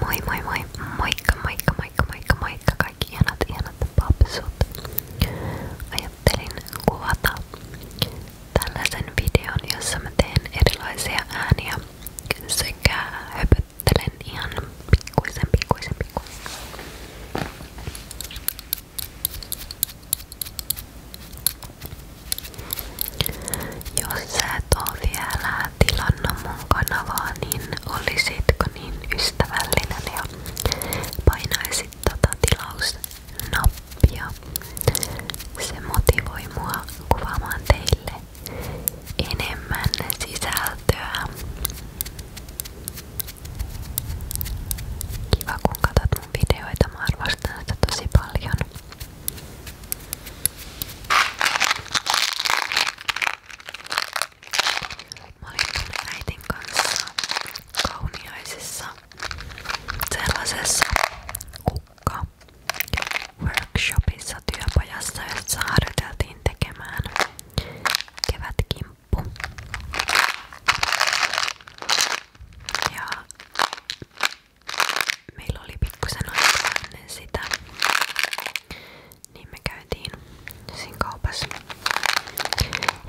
Moi moi moi, moikka moikka moikka moikka moikka kaikki ihanat ihanat papsut. Ajattelin kuvata tällaisen videon, jossa mä teen erilaisia ääniä sekä höpöttelen ihan pikkuisen pikkuisen pikkuisen. Jos sä et oo vielä tilannut mun kanavaa, niin olisitko niin ystävällinen ja painaisit tota tilausnappia. Se motivoi mua kuvaamaan teille enemmän sisältöä. Kiva kun katsot mun videoita, mä arvostan sitä tosi paljon. Mä olin mun äitin kanssa kauniaisissa sellaisessa kukka workshopissa työpajassa, jossa harjoiteltiin tekemään kevätkimppu. Ja meillä oli pikkusen aikaa ennen sitä niin me käytiin siinä kaupassa.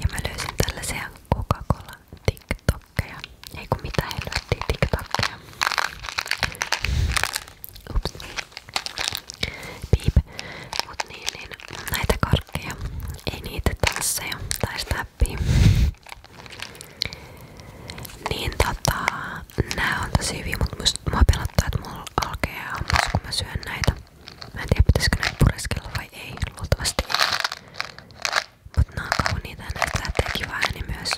Ja mä löysin tällaisia Coca-Cola TikTokkeja. Ei kun mitä helvettiä TikTokkeja. Ups. Piip. Mut niin, niin näitä karkkeja. Ei niitä tansseja tai snappia. Niin tota, nää on tosi hyviä, mutta mua pelottaa, että mulla alkee hammas, kun mä syön näitä. Mä en tiedä, pitäisikö näitä pureskella vai ei, luultavasti ei. Mut nää on kauniita ja näitä lähtee kiva ääni niin myös.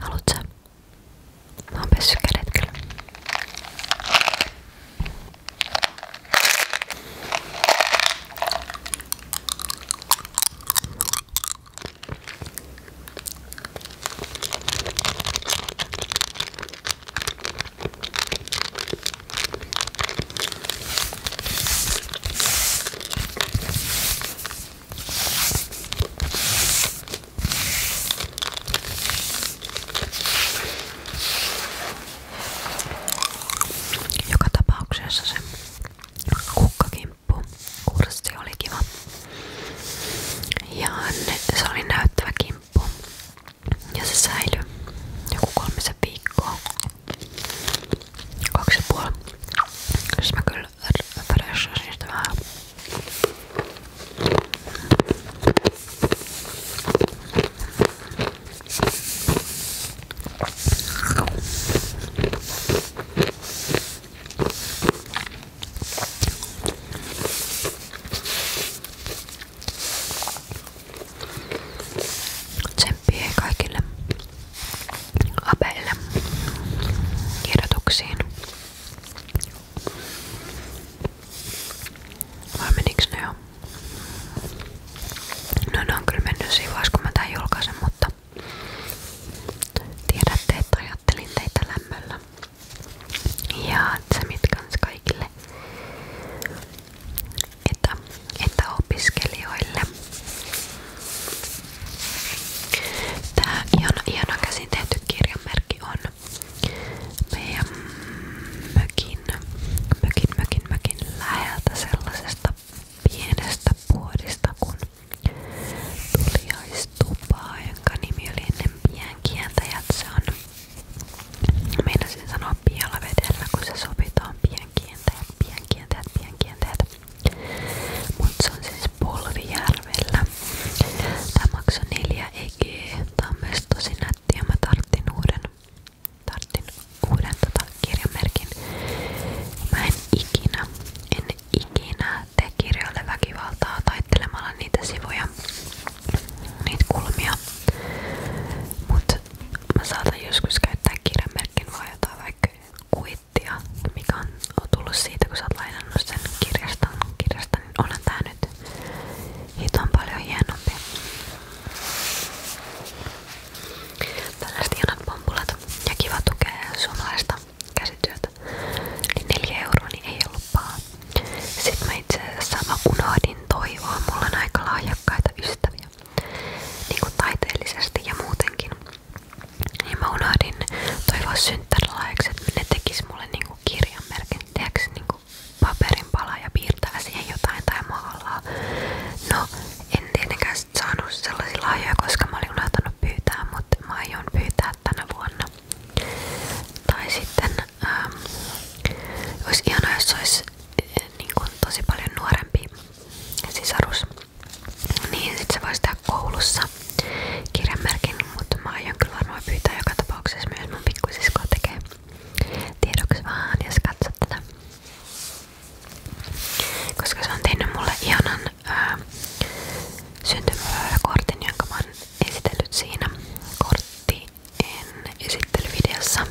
Haluatko? Mä oon pessyt kädet kyllä. Joka tapauksessa se kukkakimppu kurssi oli kiva. Ja se oli näyttävä kimppu. Ja se säilyi joku kolmisen viikkoa. Kaksi ja puoli. Siis mä kyllä freshasin sitä vähän. Tsemppiä kaikille apeille kirjoituksiin. Vai meniks ne jo? No ne on kyllä mennyt siinä vaiheessa kun mä tän julkaisen, mutta tiedätte, että ajattelin teitä lämmöllä. Ja tsemit kans kaikille etä, etäopiskelijoille. Tää ihana, ihana käsin tehty kirjanmerkki on meidän mökin, mökin, mökin, mökin läheltä sellaisesta pienestä puodista kun tuliais tupaa, jonka nimi oli ennen pienkientäjät. Se on, meinasin sanoa pialavedellä, sopi tuohon pienkientäjät, pienkientäjät, pienkientäjät. Mut se on siis Polvijärvellä. Tää maksoi 4 nätti ja mä tarttin uuden, tarttin uuden tota kirjamerkin. Mä en en ikinä tee kirjoille väkivaltaa taittelemalla niitä sivuja kulmia. Niitä kulmia. Mut mä saatan joskus käyttää kirjanmerkin vaan jotain vaikka kuittia, mikä on, on tullut siitä, kun sä oot lainannut sen kirjasta, kirjasta niin onhan tää nyt hiton paljon hienompi. Tällaiset hienot pompulat ja kiva tukea suomalaista käsityötä. Niin 4 euroa niin ei ollut paha. Sitten mä itse unohdin toivoa. Mulla on ystäviä. Niin kuin taiteellisesti ja muutenkin. Niin unohdin toivoa synttärilahjaksi, ne tekis mulle niinku kirjanmerkin. Tehdäänkö niinku paperin palaa ja piirtää siihen jotain tai maalaa? No, en tietenkään sellaisia lahjoja, mutta mä aion pyytää tänä vuonna. Tai sitten ähm, olisi ihanaa, jos olisi äh, niin kuin, tosi paljon nuorempi sisarus. Niin sit se voisi tehdä koulussa kirjanmerkin, mutta mä aion kyllä varmaan pyytää joka tapauksessa myös mun pikkusiskoa tekee tiedoksi vaan, jos katsot tätä. Koska se on tehnyt mulle ihanan ää, ähm, syntymäkortin, jonka mä oon esitellyt siinä korttien esittelyvideossa.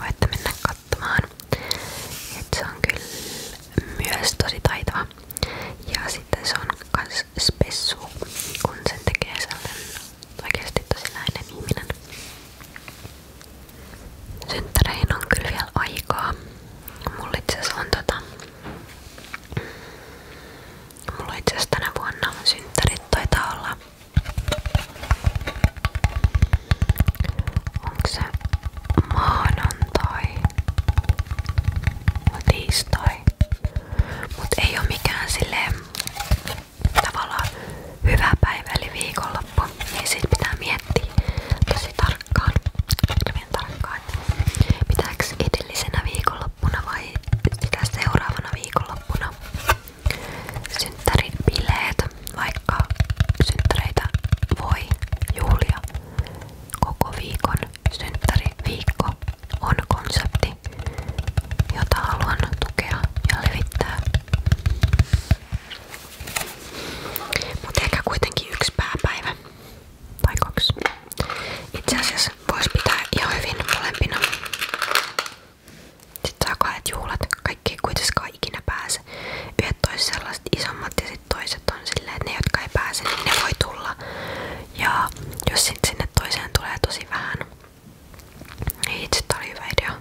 Voitte mennä katsomaan. Et se on kyllä myös tosi taitava. Ja sitten se on kans spessu, kun sen tekee sellainen oikeasti tosi näinen ihminen. Synttäreihin on kyllä vielä aikaa. Mulla itse on tota Mulla itse asiassa tänä vuonna synttärit taitaa olla. Onko se maanantai? No tiistai. Mut ei oo mikään silleen tavallaan hyvä päivä eli viikonloppu. Niin sit pitää miettiä tosi tarkkaan. Hirveen tarkkaan. Pitääks edellisenä viikonloppuna vai sitä seuraavana viikonloppuna synttäribileet, vaikka synttäreitä voi juhlia koko viikon. Synttäriviikko on konsepti, jota haluan tukea ja levittää. Mutta ehkä kuitenkin yksi pääpäivä tai kaksi. Itse asiassa voisi pitää ihan hyvin molempina. Sitten saa kahdet juhlat, kaikki ei kuitenkaan ikinä pääse. Yhdet toiset sellaiset isommat ja sitten toiset on silleen, että ne jotka ei pääse, niin ne voi tulla. Ja jos sitten sinne toiseen tulee tosi vähän, niin itse oli hyvä idea.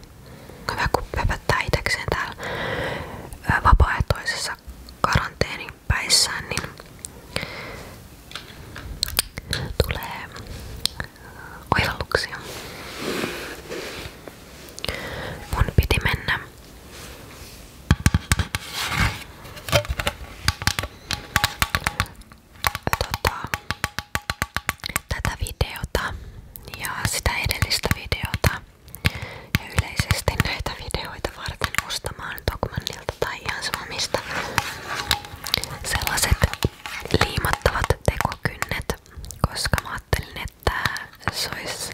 Hyvä kun pöpöttää itsekseen täällä vapaaehtoisessa karanteenin päissään, niin tulee oivalluksia. Mun piti mennä tota, tätä videota ja sitä edellistä videota ja yleisesti näitä videoita varten ostamaan Dogmanilta tai ihan sama mistä sellaiset liimattavat tekokynnet, koska mä ajattelin, että se olisi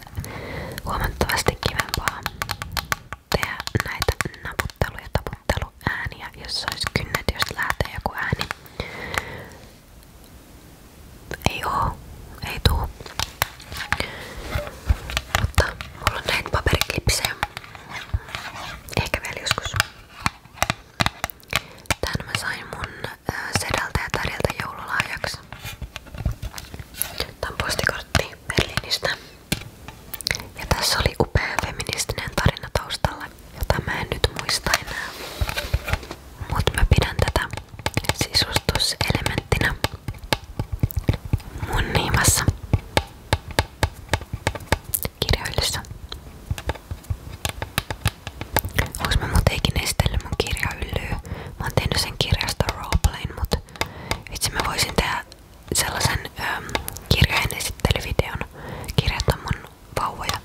huomattavasti kivempaa tehdä näitä naputtelu- ja taputteluääniä, jos se olisi kynnet, jos lähtee joku ääni. Ei oo, ei tuu. Mutta mulla on näitä paperiklipsejä. Ehkä vielä joskus. Tän mä sain mun äh, sedältä ja täriltä joululahjaksi. Tää on postikortti Berliinistä. Ja tässä oli upea feministinen tarina taustalla, jota mä en nyt muista enää. Mut mä pidän tätä sisustuselementtinä mun niimassa kirjoillessa. Ois mä muuten mun kirjahyllyä. Mä oon tehnyt sen kirjasta roleplayn, mut vitsi mä voisin tehdä sellaisen ähm, kirjojen esittelyvideon. mun vauvoja.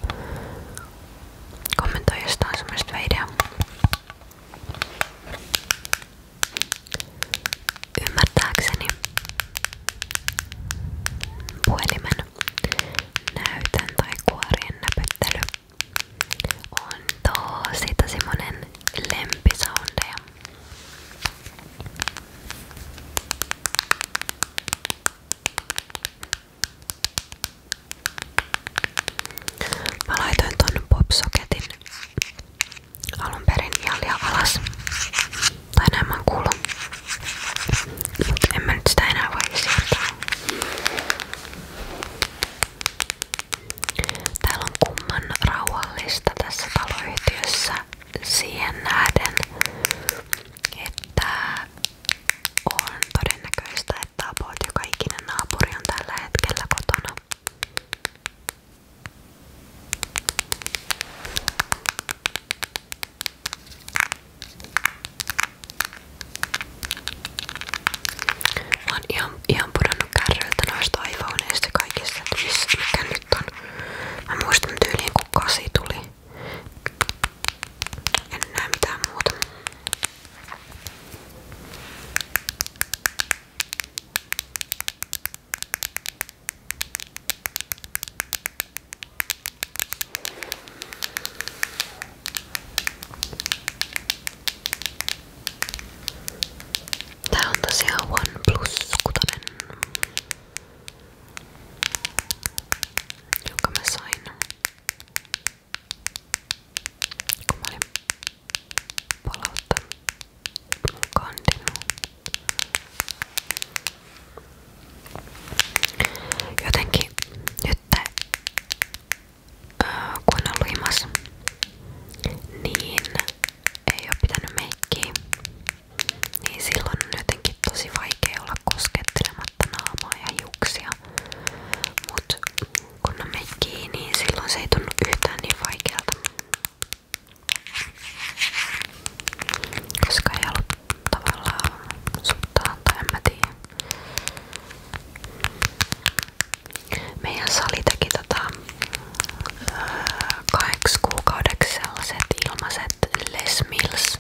Kommentoi jostain semmoista videoa. Ymmärtääkseni näytön tai kuorien näpyttely on tosi tosi monen lempisoundeja. Mä laitoin ton popsoketin alun perin alas tai näin mä oon kuullut. Mut en mä nyt sitä enää voi siirtää. Täällä on kumman rauhallista tässä taloyhtiössä siihen nähden, että on todennäköistä, että about joka ikinen naapuri on tällä hetkellä kotona. Mä oon ihan, ihan pudonnut kärryltä noista iPhoneista kaikista, että missä, mikä nyt on. Mä muistan tyyliin kun kasi tuli. En näe mitään muuta. Tää on tosiaan OnePlus 6, jonka mä sain kun mä olin palauttanut mun kandin. Jotenkin nyt öö, kun on ollut himas, niin ei oo pitänyt meikkiä. Niin silloin on jotenkin tosi vaikea olla koskettelematta naamaa ja hiuksia. Mut kun on meikkii, niin silloin se ei tunnu yhtään niin vaikealta. Koska ei ollut tavallaan suttaan tai en mä tiedä. Meidän sali teki tota, öö, kahdeksi kuukaudeksi sellaiset ilmaiset Les Mills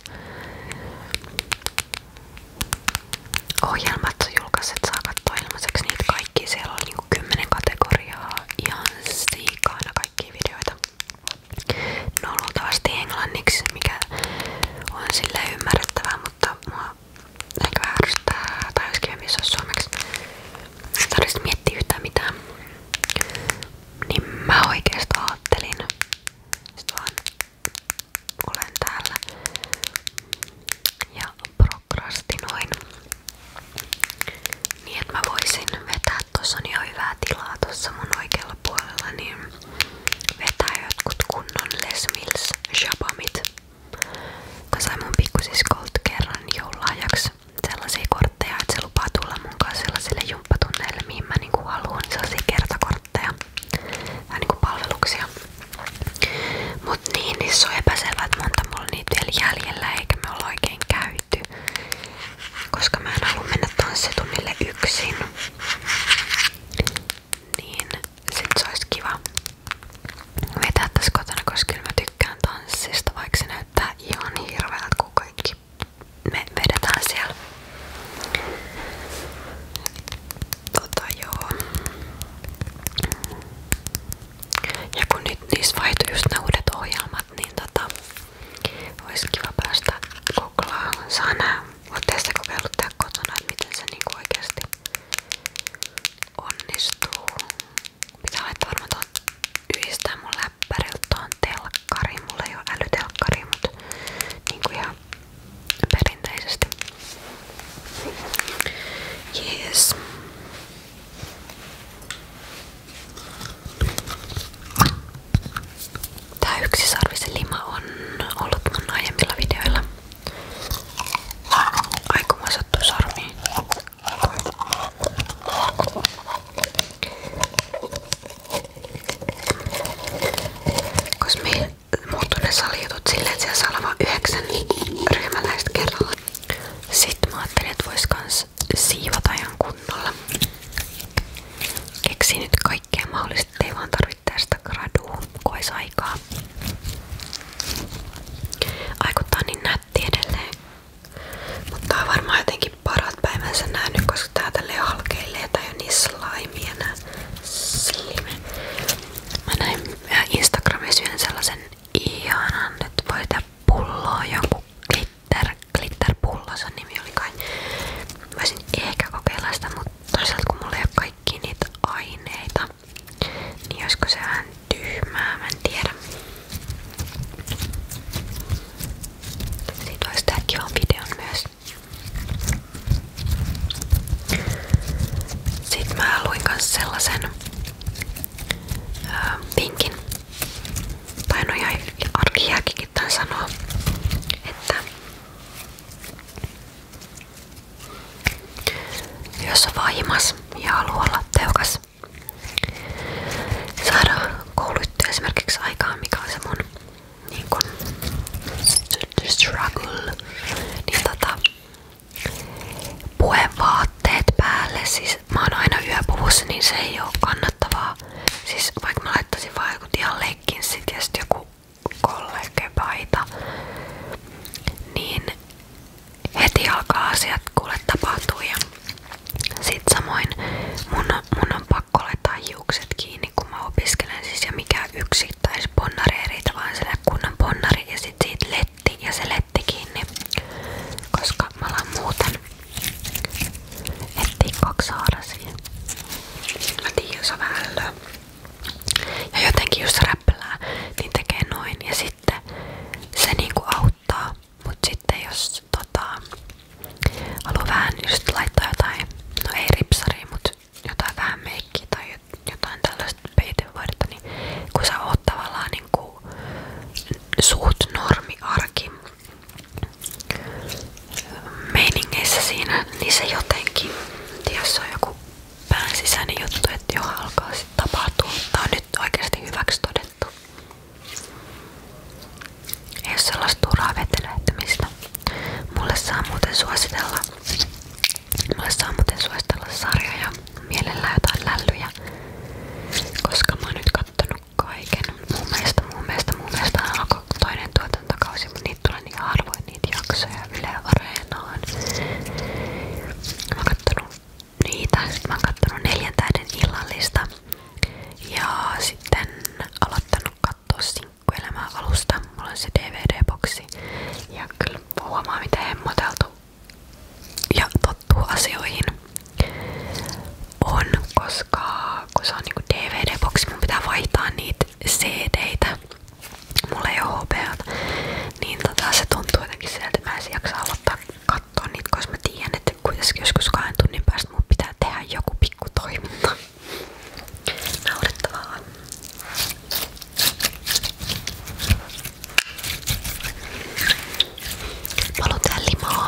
ohjelmat julkaiset saa katsoa ilmaiseksi niitä kaikki. Siellä oli niinku 10 kategoriaa ihan siikaana kaikkia videoita. No luultavasti englanniksi, mikä on sille ymmärrettävää, mutta mua ehkä vähän tai olisi kivempi jos suomeksi. miettiä yhtään Niin mä oikeesti ajattelin. Sit vaan ja prokrastinoin. Niin että mä voisin vetää, tossa on hyvää tilaa tossa mun oikealla puolella, niin vetää jotkut kunnon Les Mills shabamit. Mä sain mun pikkusiskolta kerran joululahjaksi sellaisia kortteja, että se lupaa tulla mun kanssa sellaisille jumppatunneille, mihin mä niinku haluan sellaisia kertakortteja. Vähän niinku palveluksia. Mut niin, niin se on epäselvää, että monta mulla niitä vielä jäljellä eikä me olla oikein käyty. Koska mä en halua mennä tanssitunnille yksin. Niin se olisi kiva vetää tässä kotona, koska kyllä mä näyttää ihan hirveältä, me vedetään siellä. Tota joo. Ja kun nyt niissä vaihtui just ne uudet ohjelmat, niin tota, olisi kiva päästä koklaamaan. Saa Olette sitä kokeillut tää kotona, että miten se niinku oikeasti onnistuu. Pitää laittaa varmaan tuon yhdistää mun läppäriltä tuon telkkariin. Mulla ei oo älytelkkari, mut niinku ihan perinteisesti. Jees. Tää yksisarvisen lima on ollut mun aiemmilla videoilla. Aiku mua sattuu sormiin. Koska meillä siellä saa olla vaan yhdeksän ryhmäläistä kerralla. Sitten mä ajattelin, että vois kans nyt kaikkea mahdollista, ei vaan tarvitse tästä gradua koisaikaa. Aikuttaa niin nätti edelleen. Mutta on varmaan jotenkin parat päivänsä nähnyt, koska tää tälleen halkeilee tai on niin slime enää. Slime. Mä näin Instagramissa yhden sellaisen ihanan, että voi tää pulloa joku glitter, glitter pullo, sen nimi oli kai. Voisin ehkä kokeilla sitä, mutta toisaalta kun mulla ei ole kaikki niitä aineita, niin olisiko se vähän tyhmää, mä en tiedä. Siitä voisi tehdä kivan videon myös. Sitten mä luin myös sellaisen öö, vinkin, tai no ihan arkijääkikin tämän sanoo, että jos on ja haluaa olla tehokas, saada kouluttua esimerkiksi mikä se mun niin kun, struggle, niin tota, puhevaatteet päälle, siis mä oon niin se ei oo kannattavaa. Siis vaikka mä laittaisin vaan joku ihan leikkinsit ja sit joku kollegepaita, niin heti alkaa asiat kuule tapahtua ja sit samoin mun, mun on kun mä opiskelen siis mikä yksittäisponnari ei riitä vaan sille kunnan ponnari siitä letti ja se letti koska mä alan muuten etsiä kaksi jos on ja jotenkin jos räppää, niin tekee noin ja sitten se niinku auttaa. Mut sitten jos tota, haluaa vähän just laittaa jotain, no ei ripsaria, mut jotain vähän meikkiä tai jotain tällaista peitevaidetta, niin kun sä oot tavallaan niinku suht normi arki, meiningeissä siinä, niin se jotenkin, jos on joku pään sisäinen juttu, että jo alkaa sitten tapahtua. Tää on nyt oikeasti hyväksi todettu. Ei ole sellaista turhaa vetelehtimistä. Mulle saa muuten suositella. Mulle saa muuten suositella sarjoja, mielellään jotain lällyjä. Koska mä oon nyt kattonut kaiken. Mun mielestä, mun mielestä, mun mielestä alkoi toinen tuotantokausi, mutta niitä tulee niin harvoin niitä jaksoja Yle Areenaan. Mä oon kattonut niitä, sit mä oon kattonut neljän tähden illallista ja sitten aloittanut katsoa Sinkkuelämää alusta. Mulla on se DVD-boksi ja kyllä huomaa miten hemmoteltu ja tottuu asioihin on, koska kun se on niinku DVD-boksi, mun pitää vaihtaa niitä CD-tä mulla ei oo hopeat, niin tota, se tuntuu jotenkin sieltä, että mä en jaksa aloittaa katsoa niitä, koska mä tiedän, että kuitenkin joskus kahden tunnin päästä mun pitää tehdä joku pikku toiminta. Naurettavaa. Mä haluan limaa.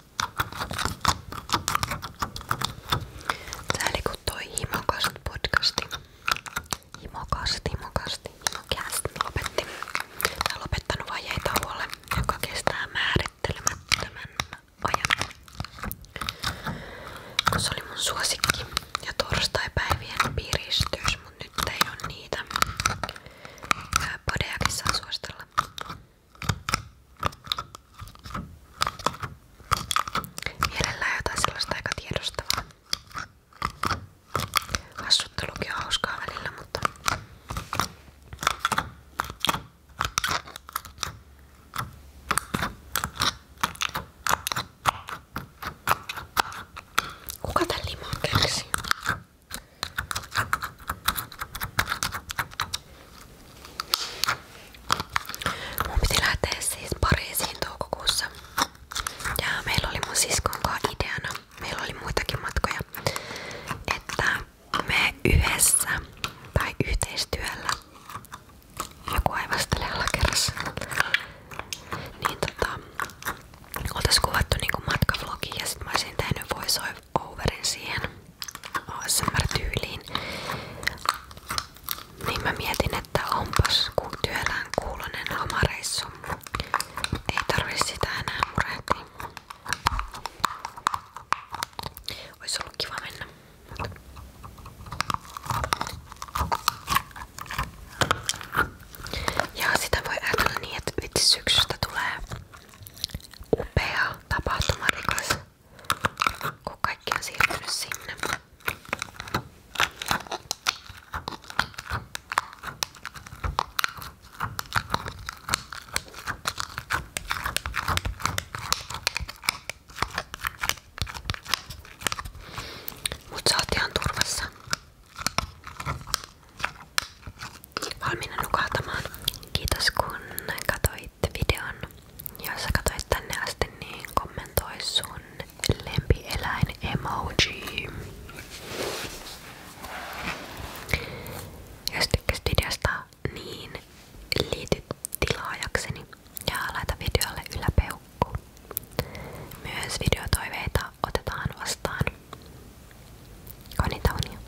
Tää oli kun toi himokast podcasti. Himokast, himokast, himokast lopetti. Tää on lopettanut vajeitauolle, joka kestää määrittelemättömän ajan. Kun se oli mun suosikki ja torstaipäivien piristys, mut nyt ei oo niitä. Podeakin saa suositella. Mielellään jotain sellaista aika tiedostavaa. Hassuttelukin on hauskaa välillä, mutta... Kuka tän limaa keksii? Mun piti lähteä siis Pariisiin toukokuussa. Ja meillä oli mun siskonkaan ideana, meillä oli muitakin matkoja, että me yhdessä tai yhteistyöllä joku aivastelee alakerrassa. Niin tota, oltais kuvattu niinku matkavlogi ja sit mä olisin tehnyt voice overin siihen. ASMR-tyyliin. Niin mä mietin, että onpas ku työllään kuulonen lomareissu. Ei tarvi sitä enää murehtia. Ois ollut kiva mennä. Ja sitä voi ajatella niin, että vitsi syksystä tulee upea tapahtumarikas, kun kaikki on siirtynyt sinne. Mut sä oot ihan turvassa valmiina nukahtamaan. Kiitos kun katsoit videon. Jos sä katsoit tänne asti, niin kommentoi sun lempieläin emoji. Jos tykkäsit videosta, niin liity tilaajakseni ja laita videolle yläpeukku. Myös videotoiveita otetaan vastaan. Konita unia.